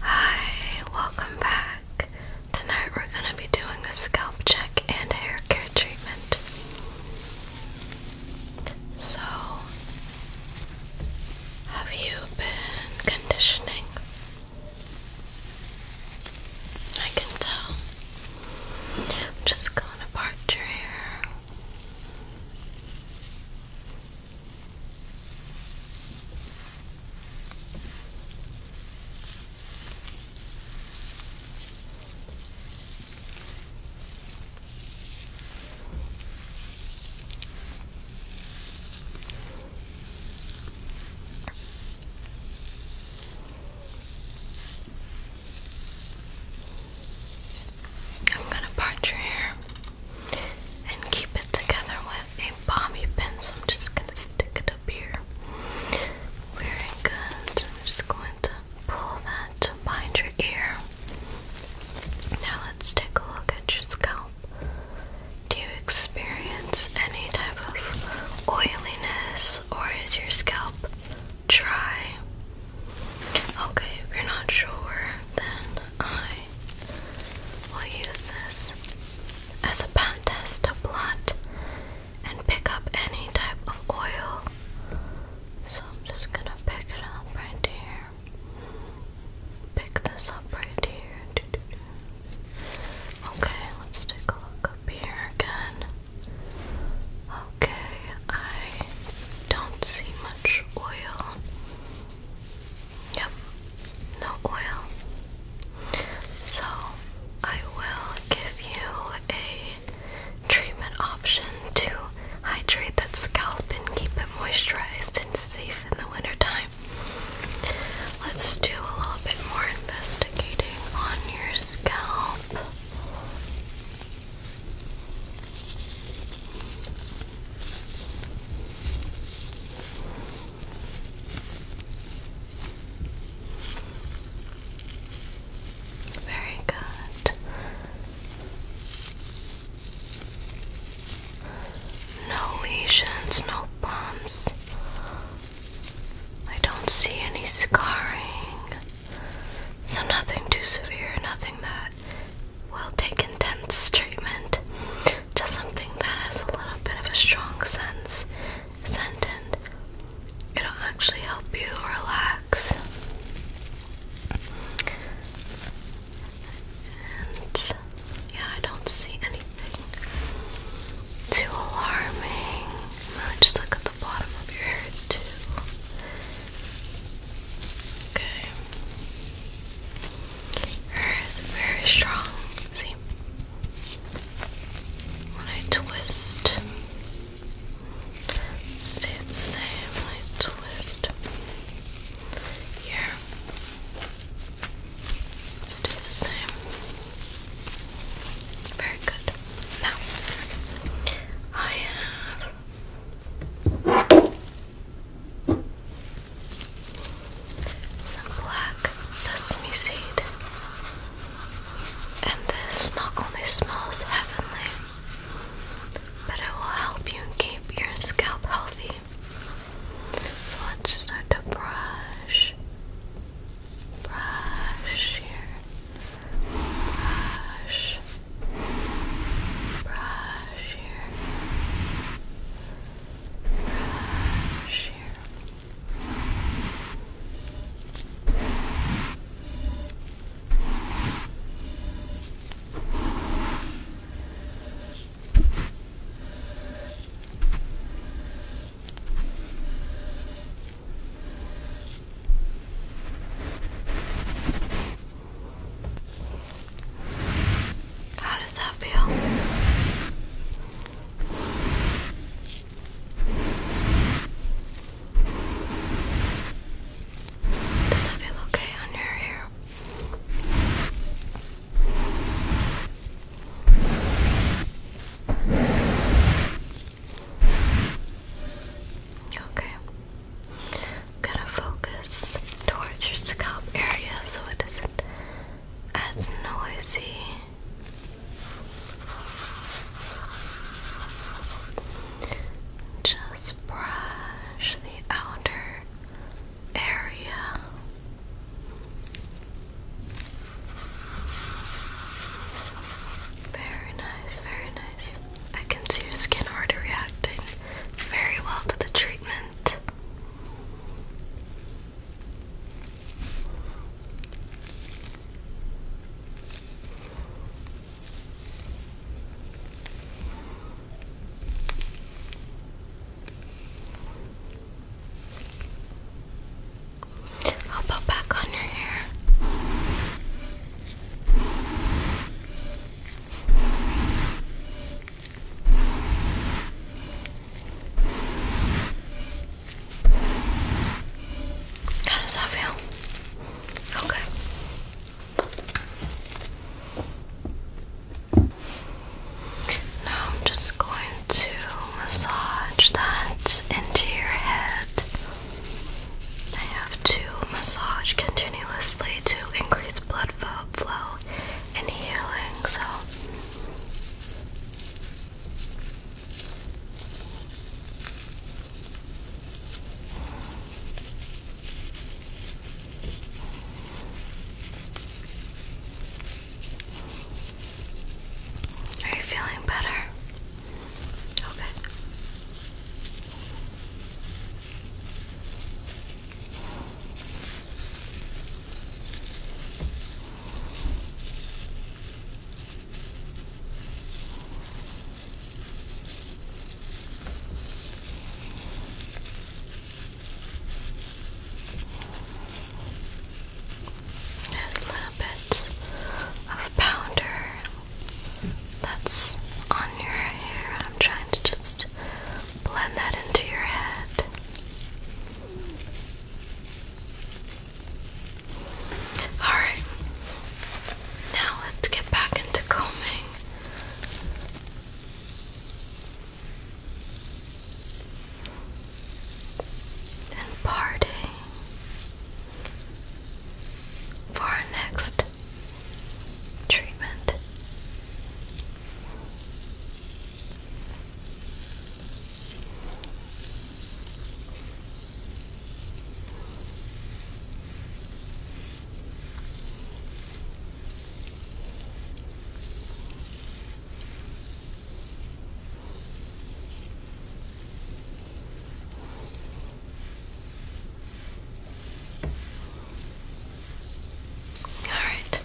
Hi, welcome back. Tonight we're going to be doing a scalp check and hair care treatment. So, have you been conditioning? I can tell. just going to part your hair. I'm gonna part your hair and keep it together with a bobby pin. So I'm just gonna stick it up here. Very good. I'm just going to pull that behind your ear. Now let's take a look at your scalp. Do you experience any type of oiliness or is your scalp dry? Okay, if you're not sure, then I will use this as a pen test to blot and pick up any type of oil. So I'm just gonna pick it up right here. Pick this up right here. Okay, let's take a look up here again. Okay, I don't see much oil. Yep, no oil. So I will give you a treatment option to hydrate that scalp and keep it moisturized and safe in the wintertime. Let's do a little bit more investigating on your scalp. Very good. No lesions, no bumps. I don't see any scarring. So, nothing too severe, nothing that will take intense treatment, just something that has a little bit of a strong sense, scent, and it'll actually help you relax. And yeah, I don't see anything too alarming. Let me just look at bottom of your head too. Okay. hair is very strong. See? When I twist, stay the same. When I twist here, stay the same. Very good. Now, I have some black sesame seed. And this not only smells heavenly, but it will help you keep your scalp healthy. So let's start to brush, brush your brush, brush here, brush here. Brush, how does that feel? Does that feel okay on your Okay. I'm gonna focus towards your scalp area so it isn't as noisy. Just brush the outer area. Very nice, very nice. I can see your skin already reacting very well to the treatment. I'll put back on your hair. How does that feel? Okay. Now I'm just going to massage that into your head. I have to massage continuously to increase blood flow and healing. So are you feeling better? Okay. There's a little bit of powder that's on your hair. I'm trying to just blend that into your head. Alright, now let's get back into combing and partying for our next treatment. All right.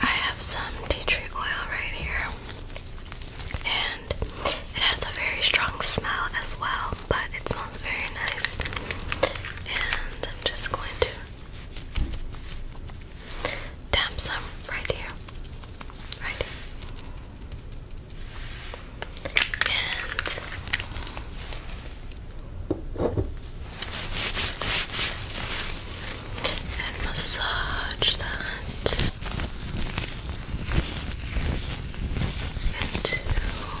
I have some tea tree oil right here. And it has a very strong smell as well but it smells very nice. And I'm just going to tap some right here. Right. and massage that into